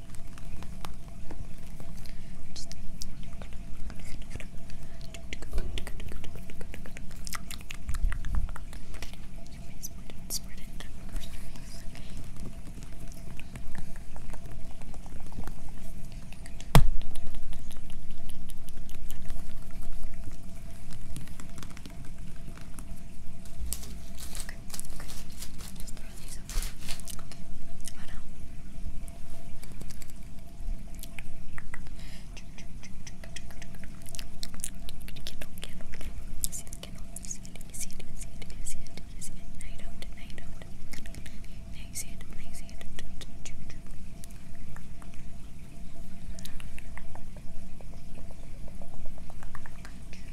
just throw these Okay, voilà. I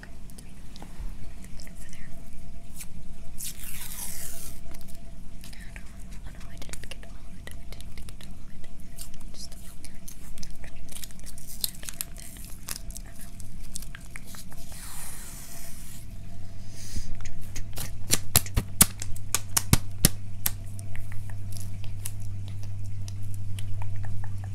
Okay. Over there. Oh no, I didn't get all of it. I didn't get all of it. Just over there. And over there. Oh no. Okay. Here,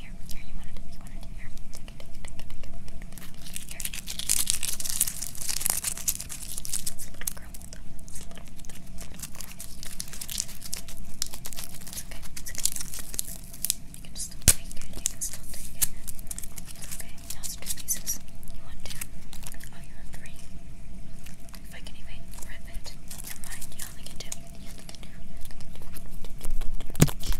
here, here, here, you want it, you want it, here. Take it, take it, take it, take it, take it. Here. It's a little crumbled up. It's a little, little, little crumbled. It's okay, it's okay. You can still take it, you can still take it. It's okay, now it's two pieces. You want two? Oh, you want three? If I can even rip it, never mind, you only get two. You only get two. You only get two. Okay, we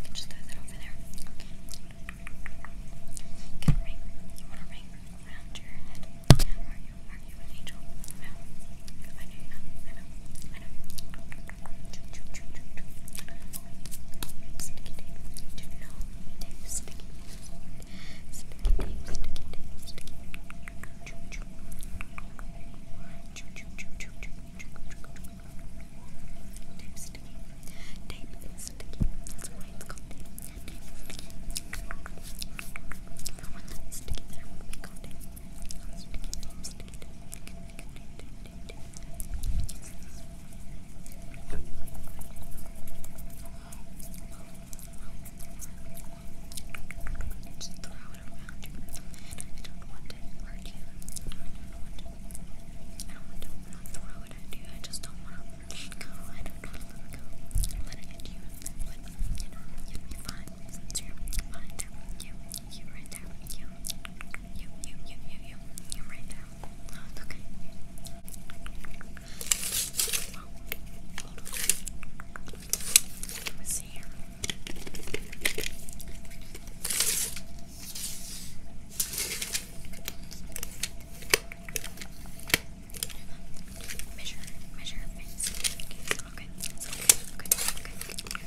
can just throw that over there. Okay. Get a ring. You want a ring around your head? Are you are you an angel? No. I know you're not. I know. I know. Choo, choo, choo, choo, choo sticky tape. Do not tape sticky tape. Sticky tape, sticky tape, sticky tape. Tape sticky. Tape is sticky. That's why it's called tape. Tape sticky. The one that is sticky there would be called tape. Sticky tape, sticky tape. Tape, tape, tape. Just throw it around I don't want to hurt you. I don't want to, I don't want to throw it at you. I just don't want to go. I don't want to let go. Let it at you. But, you know, you you're right there. You. You, you, you, you, you, you right now. it's okay. Well, Measure, measure okay, okay. okay.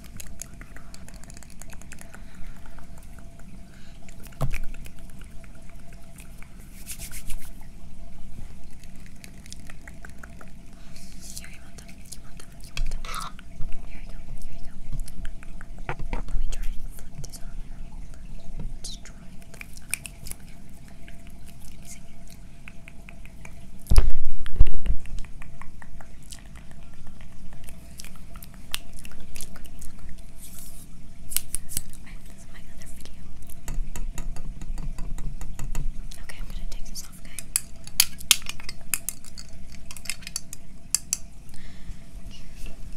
Here, you want them, you want them, you want them. Here you go, here you go. Let me try and flip this on here. Let's try it. Okay, okay. Sing it. This is Okay, I'm gonna take this off, okay?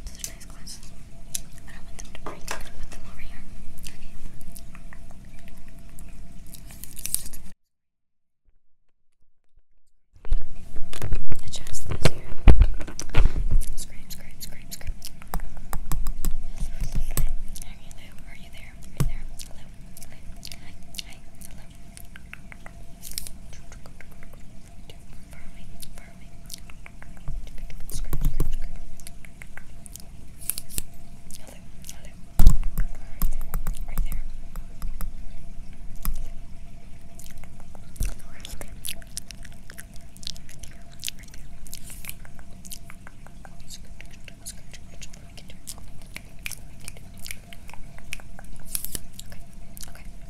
These are nice glasses. I don't want them to break. put them over here adjust this here. Scrape, scrape, scrape, scrape. Are you Are you there? Are you there? Hello. Hi. Hi. Hello. Far away. Far away hello, hello. Right there. Okay, okay,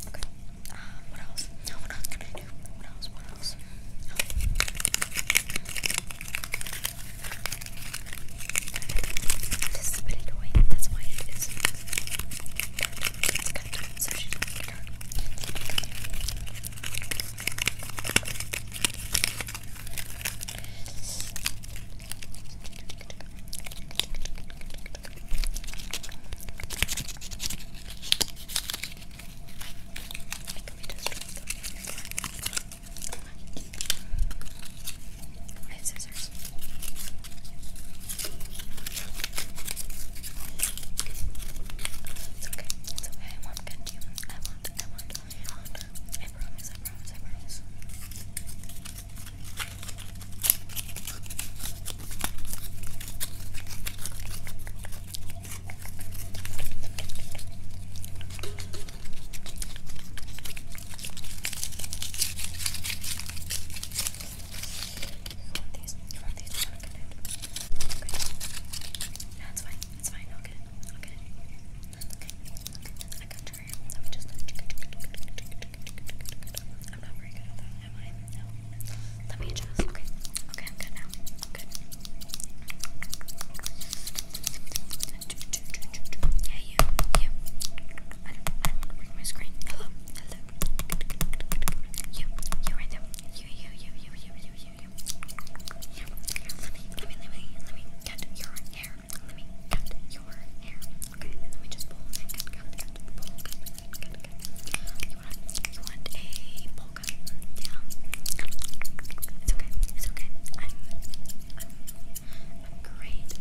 okay. Um, what else? No, what else can I do? What else? What else? Oh. This is a bit annoying, that's why it is. It's cut, so she doesn't get hurt. Let me just drop them in your I have scissors. It's okay. It's okay. I won't get I won't. I won't. I promise. I promise. I promise want these? You want these? You want to get it? Okay. No, it's fine. It's fine. I'll get it. I'll get it. That's okay. I got your hair. Let me just. I'm not very good at that, am I? No. Let me adjust. Okay. Okay, I'm good now. I'm good. Yeah, you, you. I do I don't my screen. Hello, hello. You, you right there. You, you, you, you, you, you, you, you. Let me, let me, let me, let me cut your hair. Let me cut your hair. Okay, let me just pull and cut, cut, cut, pull, cut, You want, a bowl cut? Yeah. It's okay. It's okay. I'm, I'm great.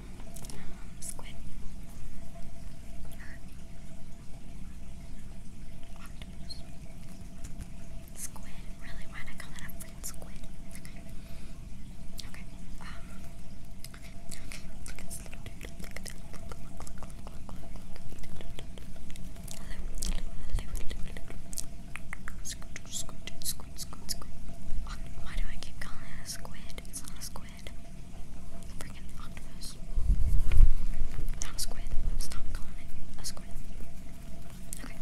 squid. octopus. Squid. Really? Why'd call it a squid? Okay. Okay. Okay. Okay. Squid. Squid. Squid. Squid. Squid. Why do I keep calling it a squid? It's not a squid squid. Freaking octopus. Not squid. Stop calling it a squid. Okay. Okay.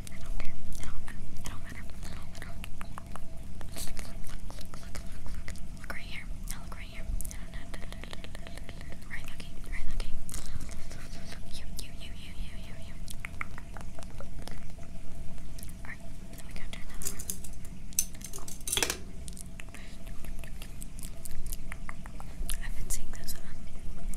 I don't care. I don't, it don't matter. I don't, I don't. Look, right here. No, look right here. Right looking, right looking. You, you, you, you, you, you, you. Alright, then we gotta turn that I've been seeing those on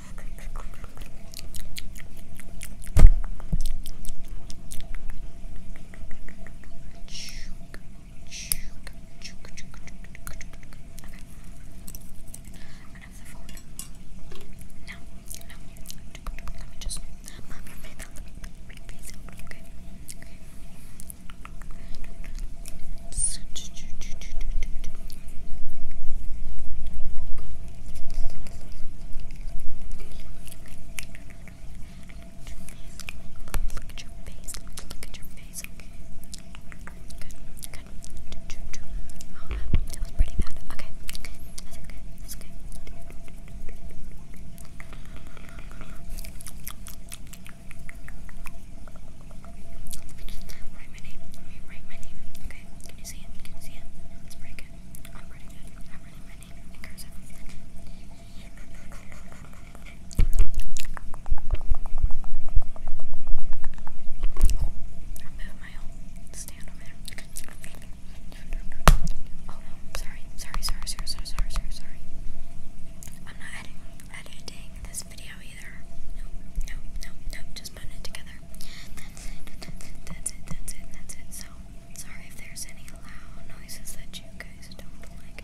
the phone. No, no. Let me just mom your face okay? Okay. Such Look at your face. Look at your face. Okay. Good. Good. Oh, that was pretty bad. Okay. That's okay. That's okay. Let write my name. write my name. Okay, can you see it? Can you see it? It's pretty good. I'm pretty good. I'm writing my name in cursive. I moved my stand over there. Oh no, sorry, sorry, sorry, sorry, sorry, sorry, sorry, I'm not editing this video either. No, no, no, no. Just putting it together. That's it. That's it. That's it. That's it. That's it. So sorry if there's any loud noises that you guys don't like.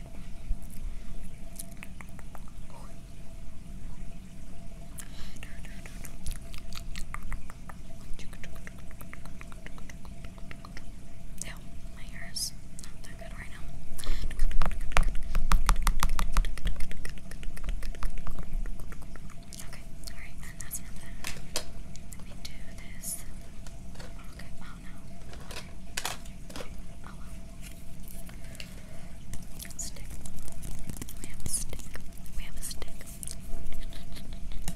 Okay. No, my hair is not good right now. Okay, alright, and that's enough Let me do this. Okay, oh no. Okay. Oh well. Stick. We have a stick. We have a stick. Here, here, here.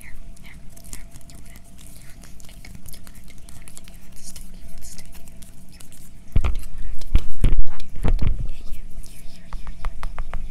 You want it? You want the stick? Do you want it? Do you want it? Do you want the stick? Do you want the stick? Do you want it? Do you want it? Do you want it? Do you want it? Yeah, yeah. Here, here, here, here, here, here.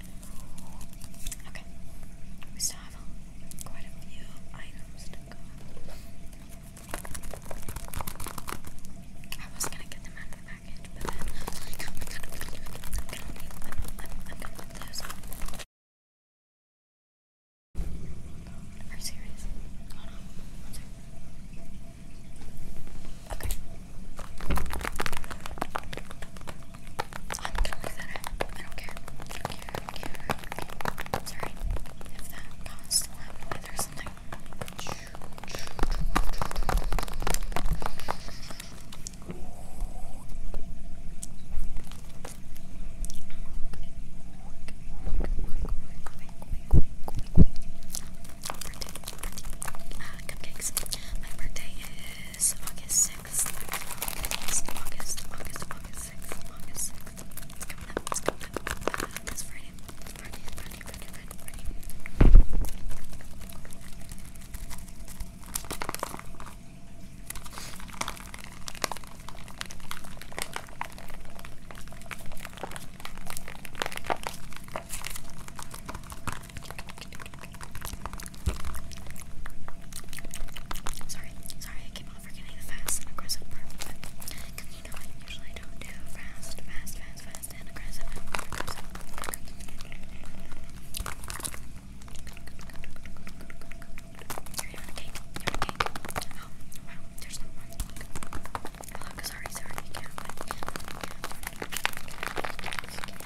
Okay. We still have a, quite a few items to go. I was gonna get them out of the package, but then I am gonna, i those Are you serious? Okay. i don't care. I don't care. I don't care. It's alright. If that caused a loud noise something. Birthday, birthday. Uh, cupcakes. My birthday is August 6th. August, August, August, August 6th. August 6th. It's coming up. It's coming up. this Friday, Friday, Friday, Friday, Friday. Sorry, sorry, I keep on forgetting the fast and aggressive part, but you usually don't do fast, fast, fast, fast, and aggressive.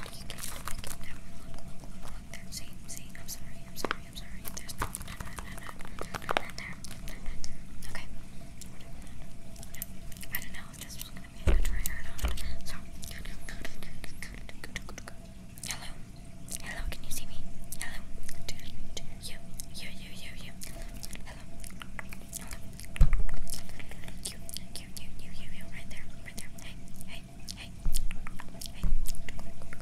I'm sorry, I'm sorry, I'm sorry. don't know this was gonna be a good trigger or hello, hello. Can you see me? Hello, you, you, you, you, you. hello. You, you, you, you, you, you, right there, right there. Hey, hey, hey, hey, hey, hey. Okay, look,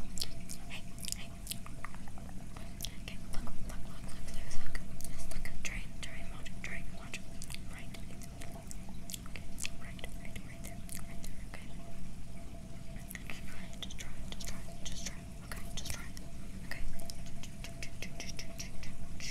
look, look, look. There's like, there's like a train, train, watch, train, watch. Right. Okay, so right, right, right there, right there. Okay. Just try, just try, just try, just try. Okay, just try. Okay. Okay.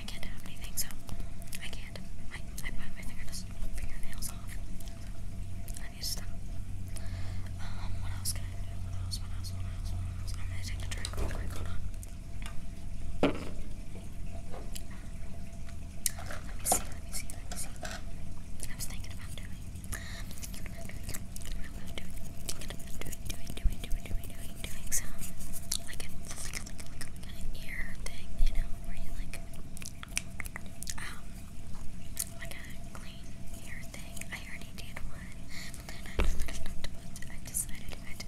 I can't have anything, so I can't. I, I bite my fingernails, fingernails off. I need to stop. Um, what else can I do? What else? What else? What else? What else? I'm gonna take a drink Hold on. Let me see. Let me see. Let me see. I was thinking about doing. I'm thinking about doing. Thinking about doing. Thinking about doing. Doing. Doing doing, doing, doing, doing some, like a, like, a, like, a, ear thing, you know, where you like, um, like a clean ear thing. I already did one, but I decided not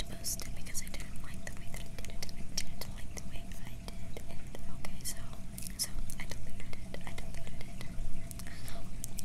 to post it. because I didn't like the way that I did it. I didn't like the way I did it. Okay, so, so I deleted it. I deleted it.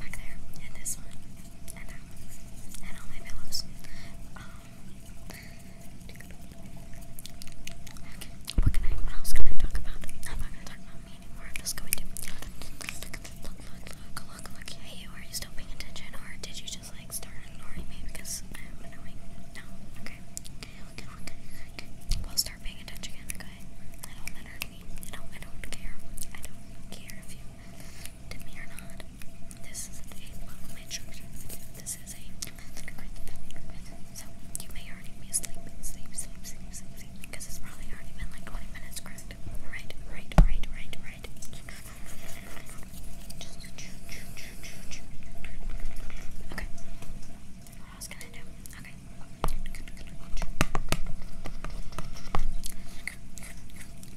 back there, and this one, and that one, and all my pillows. Um, what can I, what else can I talk about? I'm not gonna talk about me anymore, I'm just going to look, look, look, look, look, hey you, are you still paying attention, or did you just like start ignoring me because I'm annoying? No, okay, okay, okay, okay, we'll start paying attention again, okay? I don't matter to me, I don't, I don't care, I don't care if you to me or not. This is a welcome instruction This is a so you may already be asleep, sleep, sleep, sleep, sleep, because it's probably already been like 20 minutes, correct? Right, right, right, right, right. Okay. What else can I do? Okay.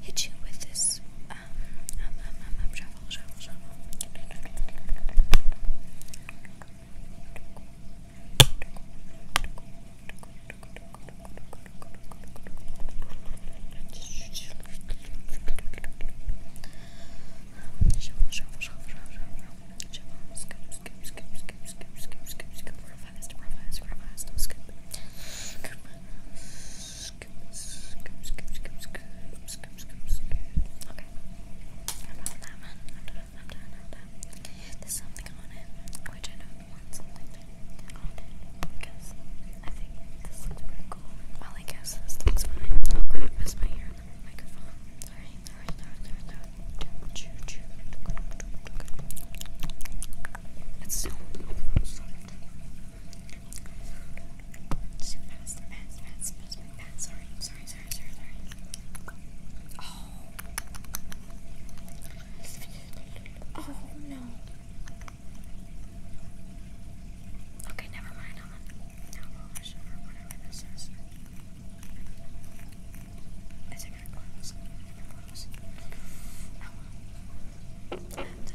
hit you with this um, um, um, um, um shovel, shovel, shovel. Shovel, shovel, shovel, shovel, skip, skip, skip, skip, skip, skip, skip, real fast, real fast, real fast, skip, skip, skip, skip, skip, skip, skip, skip, skip, okay, I'm done with that one, I'm done, I'm done, I'm done, there's something on it, which I don't want something on it, because I think this looks pretty cool, well, I guess this looks fine, oh crap, I missed my ear on the microphone, sorry, sorry, sorry, sorry, sorry, it's so soft. Oh. no. Okay, never mind. I think I close. I close. Oh That doesn't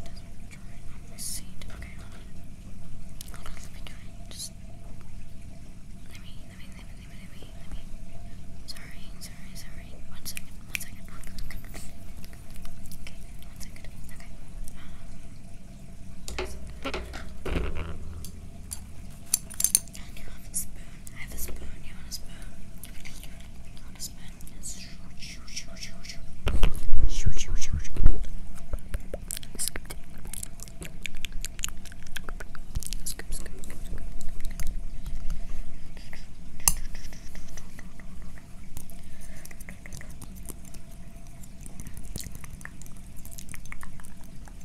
dry on this seat. Okay, let me do Just let me, let me, let me, let me, let me, Sorry, sorry, sorry. One second, one second. Okay, one second. Okay. And you have a spoon. I have a spoon. You want a spoon? You want a spoon? Yes. Scoop, scoop, scoop, scoop. Scoop,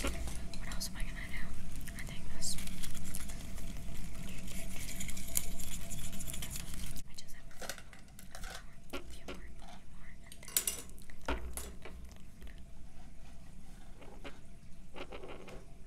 What else am I gonna do? I think this. I just have a more, a more, a more, a more,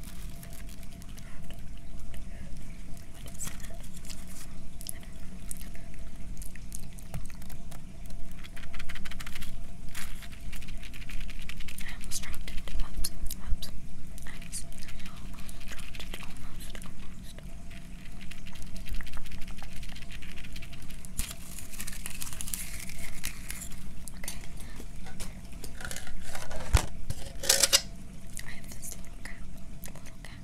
What is that? I almost dropped it. Oops, oops. I almost, almost dropped it. Almost, almost. Okay, I have this little cat, little cat,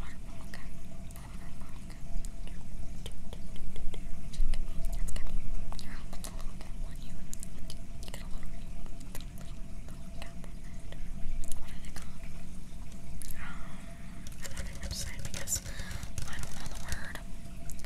waterfall cat, waterfall cat. It's got your help with a little cat on you. You get a little, little, little cat on that. What are they called? Um, I'm on a website because I don't know the word.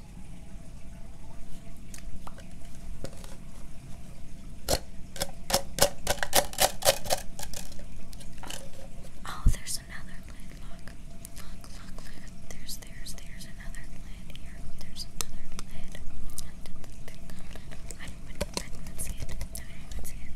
Oh, there's another lid. Look, look, look, look. There's, there's, there's another lid here. There's another lid. I didn't, I didn't see it. I didn't see it.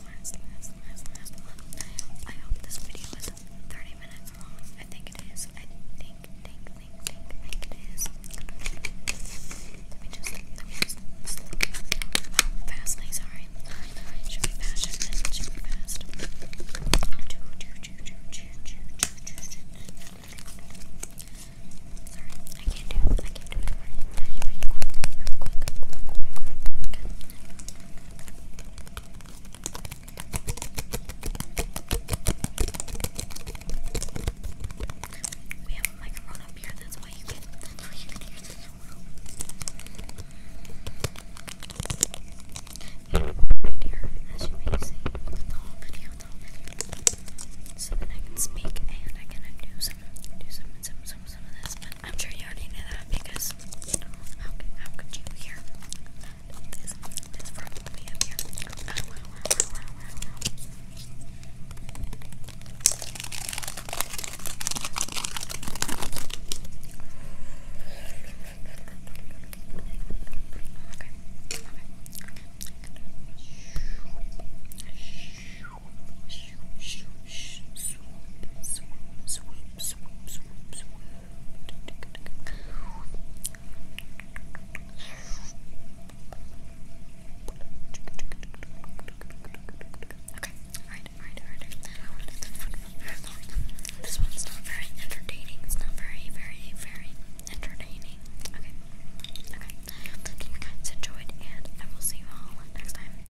last, last, I hope this video is 30 minutes long. I think it is. I think, think, think, think, think it is. Let just, let me just, just look how fast, sorry. should be fast, should be fast. Sorry, I can't do it. I can't do it. Very quick, very quick, very quick, very quick, very quick. We have a microphone up here, that's why you can, that's why you can hear this yeah, right here, as you may see, the whole video, the whole I can speak and I can do some, do some, some, some, some of this, I'm sure you already knew that because how, could you hear this? This frog will be up here. Oh, Okay, alright, alright, alright. This one's not very entertaining. It's not very, very, very entertaining. Okay, okay. I hope you guys enjoyed, and I will see you all next time.